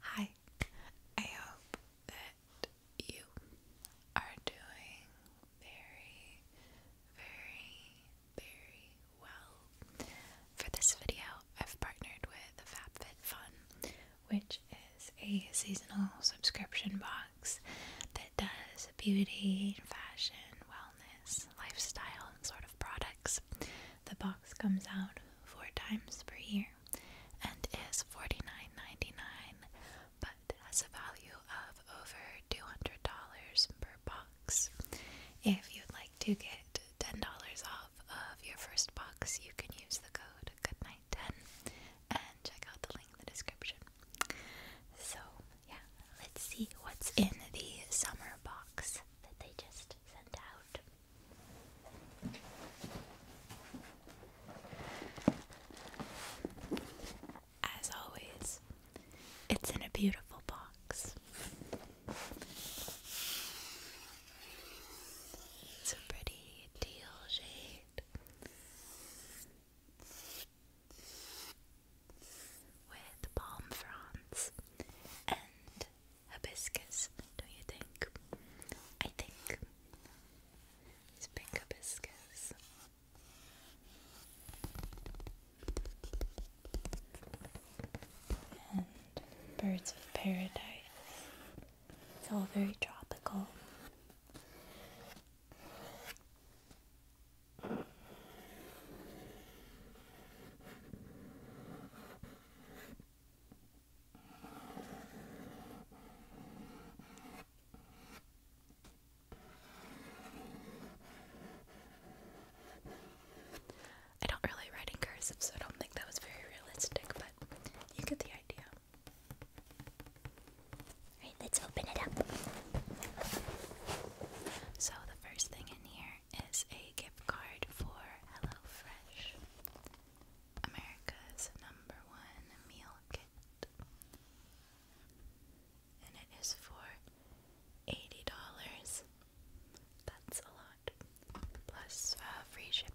Hi, I hope that you are doing very, very, very well. For this video, I've partnered with FabFitFun, which is a seasonal subscription box that does beauty, fashion, wellness, lifestyle sort of products. The box comes out four times per year and is $49.99 but has a value of over $200 per box. If you'd like to get $10 off of your first box, you can use the code GOODNIGHT10 and check out the link in the description. So, yeah, let's see what's in the summer box that they just sent out. As always, it's in a beautiful box. It's a pretty teal shade with palm fronds and hibiscus, don't you think? I think it's pink hibiscus. And birds of paradise. It's all very tropical. I don't really write in cursive, so I don't think that was very realistic, but you get the idea. Alright, let's open it up. So, the first thing in here is a gift card for HelloFresh. America's number one meal kit. And it is for $80. That's a lot. Plus uh, free shipping.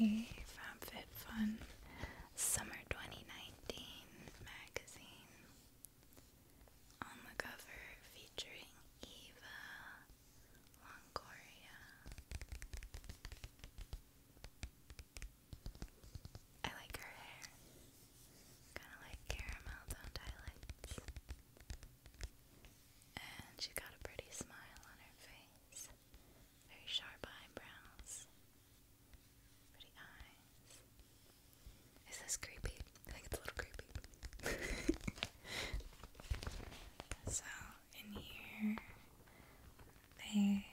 And the FabFitFun Summer 2019 magazine on the cover featuring Eva Longoria. I like her hair. Kind of like caramel tone highlights. And she's got a pretty smile on her face. Very sharp eyebrows. Pretty eyes. Is this creepy? I think it's a little creepy. so, in here, they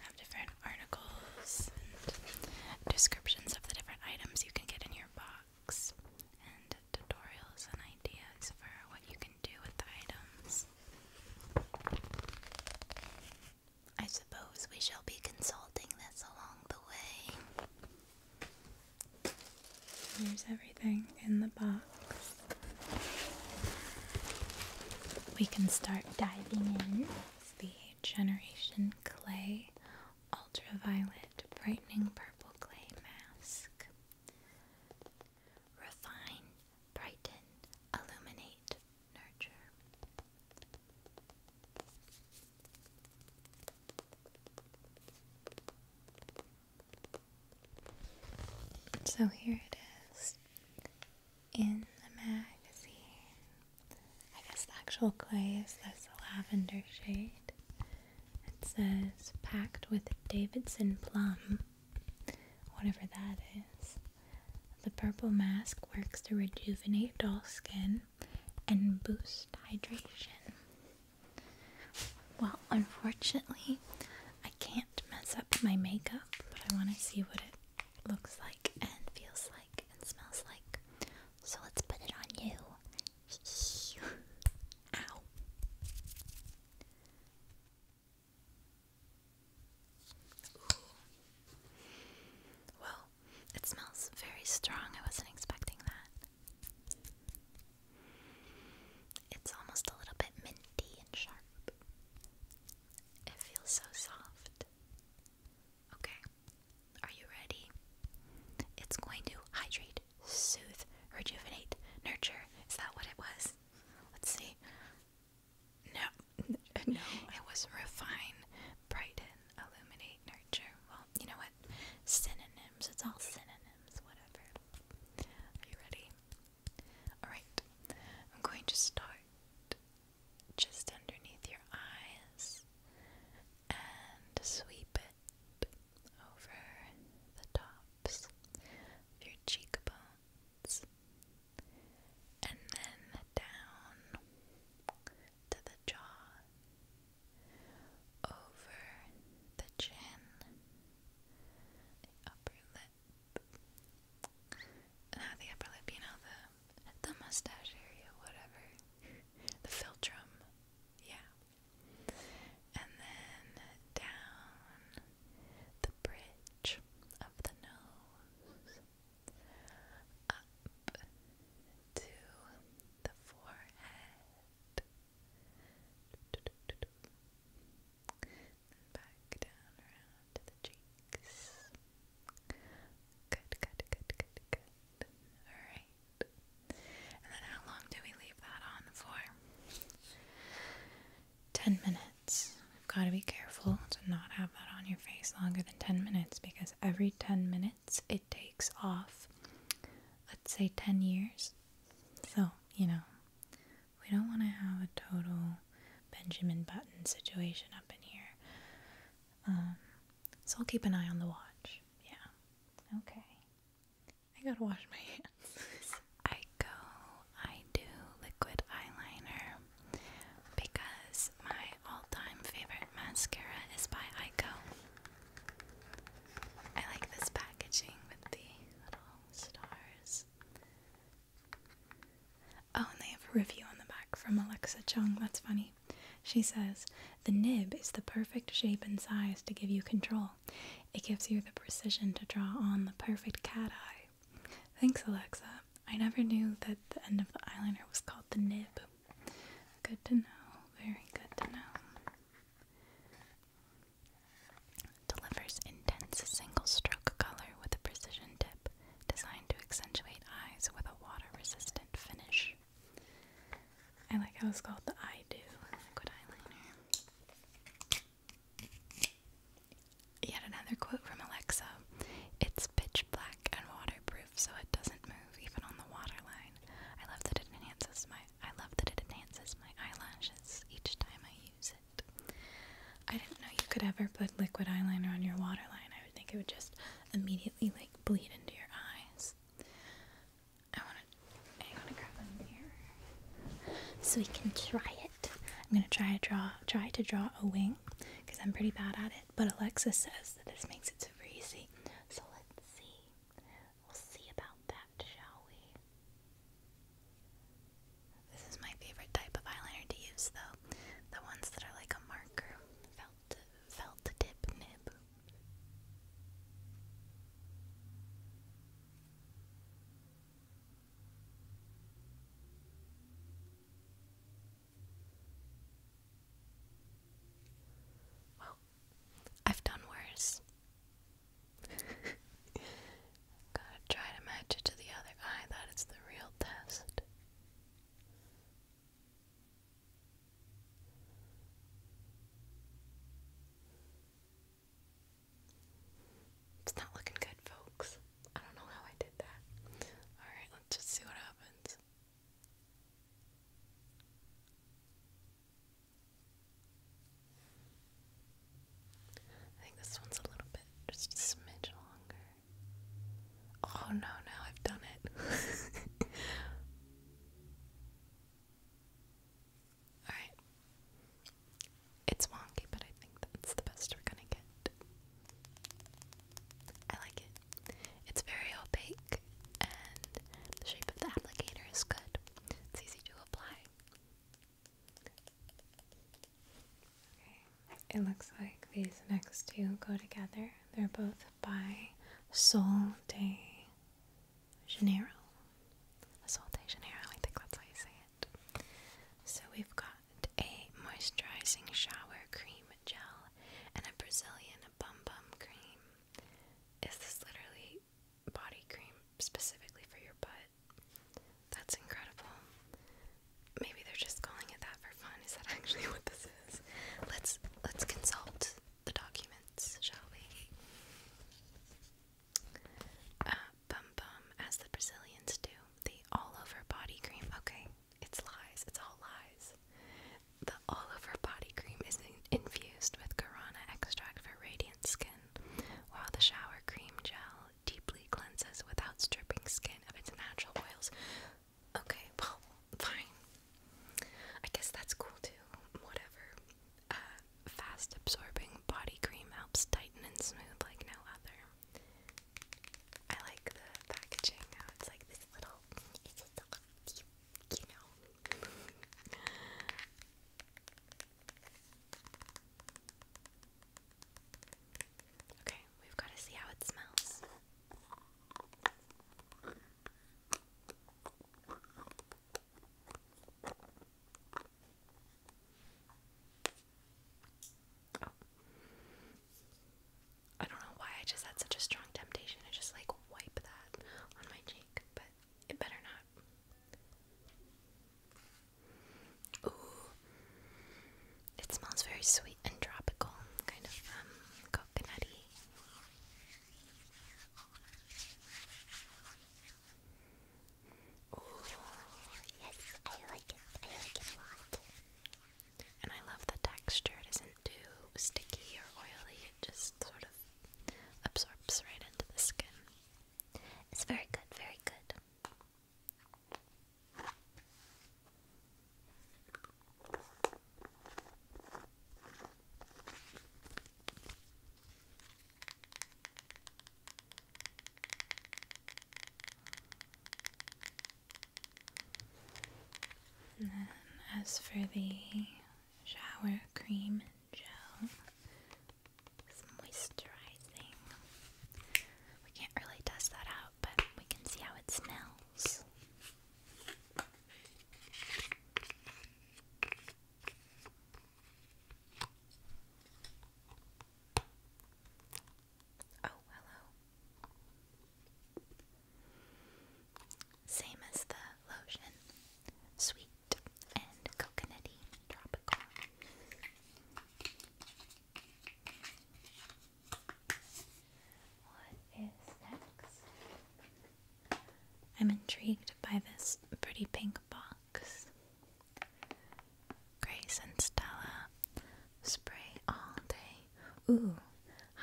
have different articles and descriptions of the different items you can get in your box, and tutorials and ideas for what you can do with the items. I suppose we shall be consulting this along the way. Here's everything in the box. We can start diving in. The Generation Clay Ultraviolet Brightening Purple Clay Mask. Refine, brighten, illuminate, nurture. So here it is in the magazine. I guess the actual clay is this lavender shade. It says packed with Davidson plum, whatever that is. The purple mask works to rejuvenate dull skin and boost hydration. Well, unfortunately, I can't mess up my makeup, but I want to see what it looks like and feels like and smells like. So let's put it on you. Ow. Well, it smells very strong. I wasn't expecting that. It's almost a little bit minty and sharp. It feels so soft. Okay, are you ready? It's going to hydrate, soothe, rejuvenate, nurture. Is that what it was? Let's see. No, no. It was refine, brighten, illuminate nurture. Well, you know what? Synonyms. It's all synonyms, whatever. Are you ready? Alright. I'm going to start just underneath your eyes and sweep it over the tops of your cheekbones and then down to the jaw over the chin, the upper lip, not the upper lip, you know, the, the mustache area, whatever, the philtrum, yeah, and then down the bridge of the nose, up to the forehead back down around to the cheeks. Good, good, good, good, good. Alright. And then how long do we leave that on for? Ten minutes. We've got to be careful to not have that on your face longer than ten minutes because every ten minutes it takes off, let's say 10 years. So, you know, we don't want to have a total Benjamin Button situation up in here. Um, so I'll keep an eye on the watch. Yeah. Okay. I gotta wash my hands. I go, I do liquid eyeliner because my all time favorite mascara is by Ico. I like this packaging with the little stars. Oh, and they have a review on the back from Alexa Chung. That's funny. She says, The nib is the perfect shape and size to give you control. It gives you the precision to draw on the perfect cat eye. Thanks, Alexa. I never knew that the end of the eyeliner was called the nib. Good to know. Very good to know. Delivers intense single stroke color with a precision tip designed to accentuate eyes with a water resistant finish. I like how it's called the Eye Do Liquid Eyeliner. Yet another quote from Alexa It's pitch black and waterproof so it doesn't move even on the waterline. I love that it enhances my I love that it enhances my eyelashes each time I use it. I didn't know you could ever put liquid eyeliner on your waterline. I would think it would just immediately like bleed into your eyes. I want to. I want to grab a mirror so we can try it. I'm gonna try to draw. Try to draw a wing because I'm pretty bad at it. But Alexa says that this makes it super easy. So let's see. We'll see about that shall we? This is my favorite type of eyeliner to use though. The ones that are like a marker. Felt felt dip nib. I've done worse. Gotta try to match it to the other eye. That is the real test. It's not looking good, folks. I don't know how I did that. Alright, let's just see what happens. I think this one's a little bit, just a smidge longer. Oh no, now I've done it. Alright. It's wonky, but I think that's the best we're gonna get. I like it. It's very opaque, and the shape of the applicator is good. It's easy to it looks like these next two go together. They're both by Sol de Janeiro. Sol de Janeiro, I think that's how you say it. So we've got a moisturizing shower cream gel and a Brazilian bum bum cream. Is this literally body cream specifically for your butt. That's incredible. Maybe they're just calling it that for fun. Is that actually what this is? Let's let's consult the documents, shall we? Uh, bum bum, as the Brazilians do, the all over body cream. Okay, it's lies. It's all lies. The all over body cream is infused with guarana extract for radiant skin, while the shower cream gel deeply cleanses without stripping skin of its natural oils. Okay, well, fine. I guess that's cool too. Whatever. Uh, fast absorbing body cream helps tighten and smooth like no other. I like the packaging oh, it's like this little, you know. Okay, we've got to see how it smells. Oh. I don't know why I just had such a strong temptation to just like wipe that on my cheek, but it better not. Ooh. It smells very sweet and tropical, kind of um coconutty. Ooh, yes, I like it. I like it a lot. And I love the texture. It isn't too sticky or oily. It just sort of absorbs right into the skin. It's very good, very good. And then as for the shower cream gel, moisturizing. We can't really test that out, but we can see how it smells. Oh, hello. Same as the lotion. Sweet and coconutty tropical. What is next? I'm intrigued by this pretty pink box. Grace and Stella spray all day. Ooh,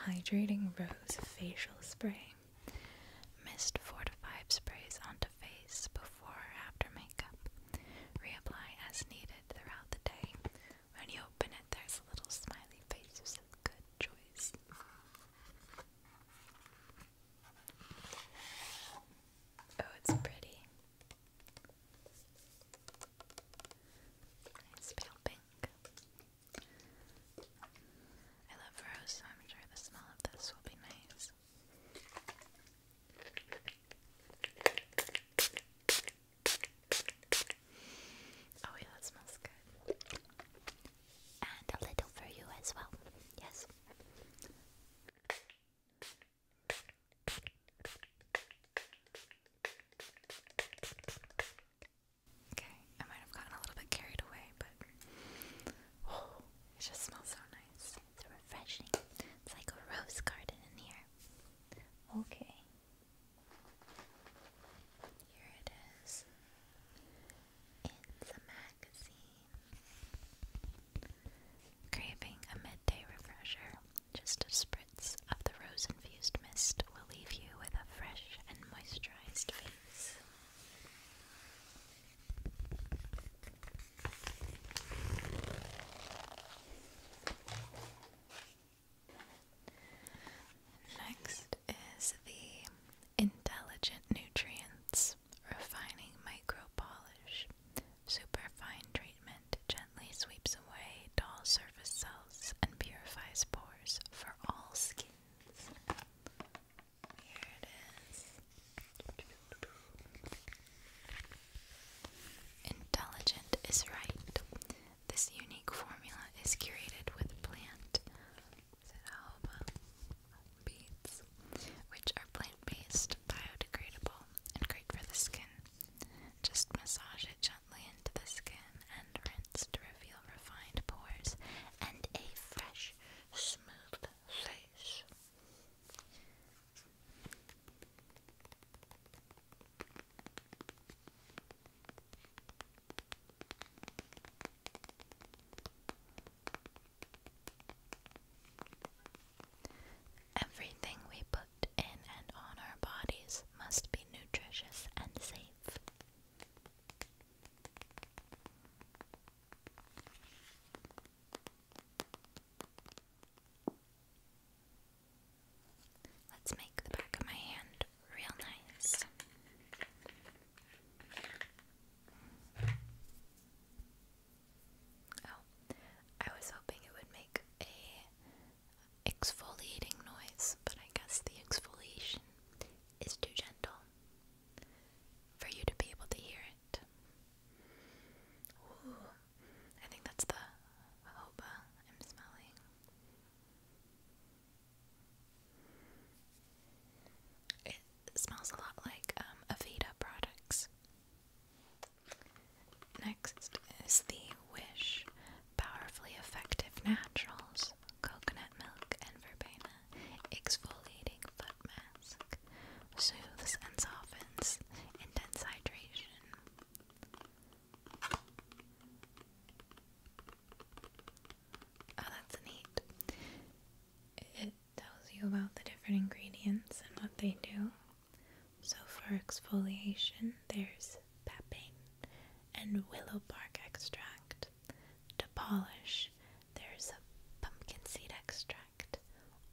hydrating rose facial spray. Mist 4 to 5 sprays onto face before after makeup. Reapply as needed throughout the day. When you open it, there's a little smiley face who says, Good choice. Oh, it's pretty. Nice pale pink. I love rose, so I'm sure the smell of this will be nice this. Oh, yeah, that smells good. And a little for you as well. Yes. Okay, I might have gotten a little bit carried away, but it just smells so nice. It's refreshing. It's like a rose garden in here. Okay. Here it is. It's a magazine. Craving a midday refresher. Just a spritz of the rose infused mist will leave you with a fresh and moisturized face. Next is the Intelligent Nutrients Refining Micro Polish. Superfine treatment gently sweeps away dull surface cells and purifies pores for all skins. Here it is. Intelligent is right. This unique formula is curated with plant which are plant-based, biodegradable, and great for the skin. Just massage it gently into the skin and rinse to reveal refined pores and a fresh, smooth face. Everything we put in and on our bodies must be nutritious and safe. Let's make the back of my hand real nice. Oh, I was hoping it would make a exfoliating noise, but I guess the exfoliation is too gentle for you to be able to hear it. I think that's the jojoba I'm smelling. It smells a lot like um, products. Next is the Wish Powerfully Effective Naturals Coconut Milk and Verbena exfoliating foot mask, soothes and softens intense hydration. Oh, that's neat. It tells you about the different ingredients and what they do. So, for exfoliation, there's papain and willow bark extract. To polish, there's a pumpkin seed extract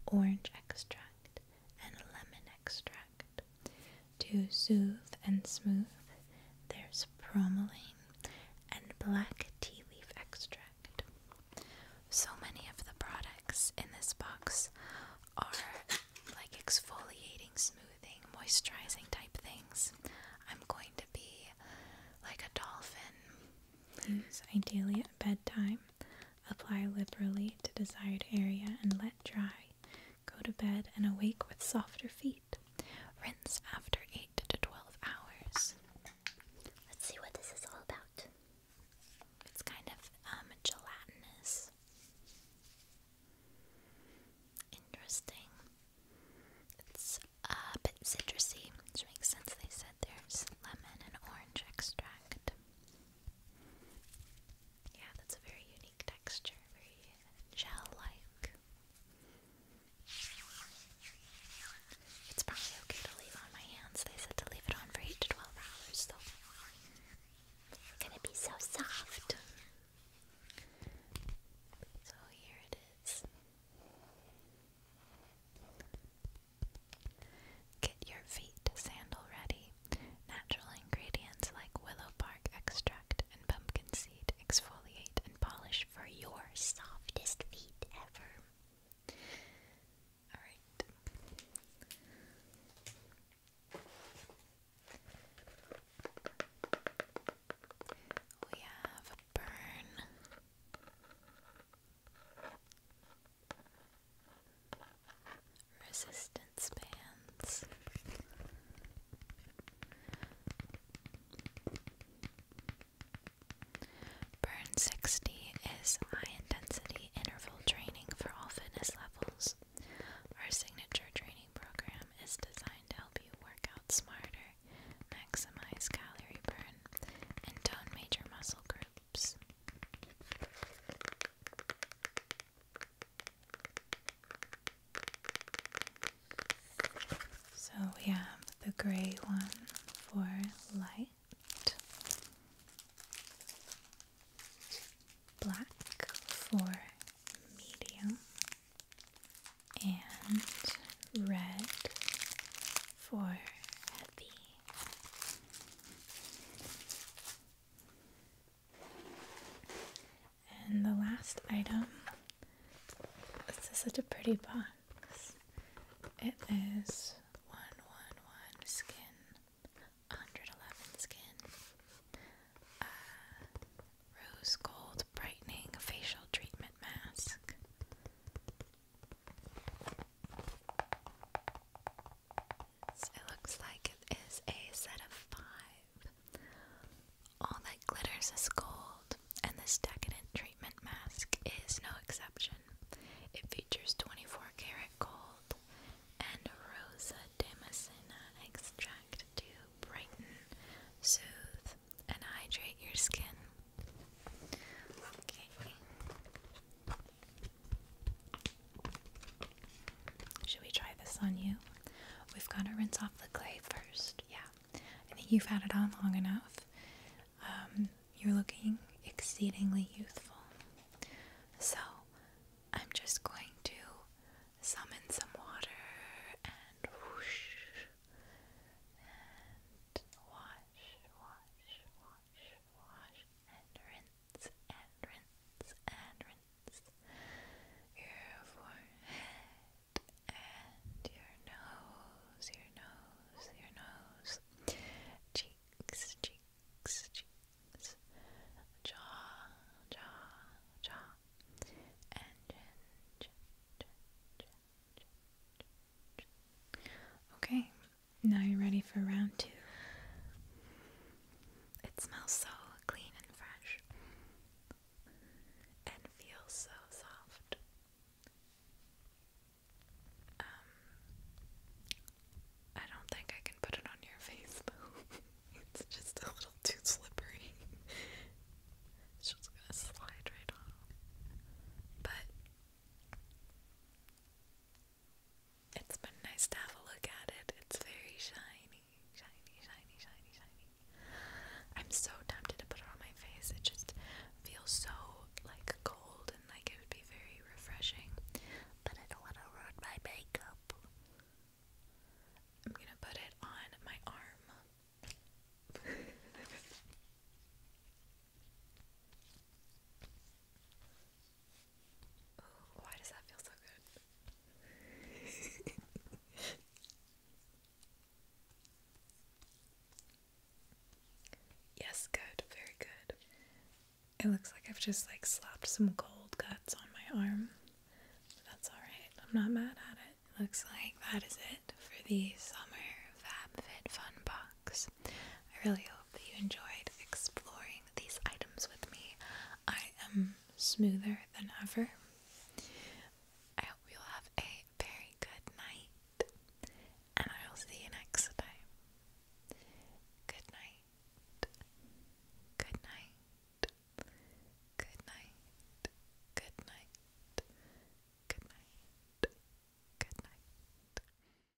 orange extract, and lemon extract. To soothe and smooth, there's bromelain and black tea leaf extract. So many of the products in this box are like exfoliating, smoothing, moisturizing type things. I'm going to be like a dolphin. Use ideally at bedtime Apply liberally to desired area and let dry. Go to bed and awake with softer feet. Rinse after 8 to 12 hours. Let's see what this is all about. It's kind of um, gelatinous. Interesting. It's uh, a bit citrusy, which makes sense, they said there's lemon and orange extract. Yeah, that's a very unique texture, very gel like. It's probably okay to leave on my hands. They said to leave it on for 8 to 12 hours, though. It's gonna be so soft. So here it is. Get your feet sandal ready. Natural ingredients like willow bark extract and pumpkin seed exfoliate and polish for your softest feet ever. Alright. We have burn resistance bands. Burn 60 is high intensity interval training for all fitness levels. Our signature training program is designed to help you work out smarter, maximize calorie burn, and tone major muscle groups. So we have the gray one for light, black for medium, and red for heavy. And the last item this is such a pretty box. It is 111 skin, 111 skin, uh, rose gold brightening facial treatment mask it looks like it is a set of five. All that glitters is gold, and this decadent treatment mask is no exception. It features 24 karat gold and rosa damascena extract to brighten, soothe, and hydrate your skin. Okay. Should we try this on you? We've got to rinse off the clay first. Yeah, I think you've had it on long enough. Um, you're looking exceedingly youthful. So, I'm just going to summon some water and whoosh and wash, wash, wash, wash and rinse and rinse and rinse your forehead and your nose, your nose, your nose, cheeks, cheeks, cheeks, jaw, jaw, jaw, and chin, chin, chin, chin, chin, chin. Okay, now you're ready for round two. It smells so clean and fresh and feels so soft. Um, I don't think I can put it on your face though. it's just a little too slippery. it's just gonna slide right off. But it's been nice to have a look at it. It's very shiny, shiny, shiny, shiny, shiny. I'm so tempted to put it on my face. It just feels so like cold and like it would be very refreshing. But I don't want to ruin my makeup. I'm gonna put it on my arm. why does that feel so good? yes, good, very good. It looks like I've just like slapped some gold guts on my arm. That's alright, I'm not mad at it. Looks like that is it for the summer FabFitFun box. I really hope hope that you enjoyed exploring these items with me. I am smoother than ever. I hope you'll have a very good night, and I will see you next time. Good night. Good night. Good night. Good night. Good night. Good night.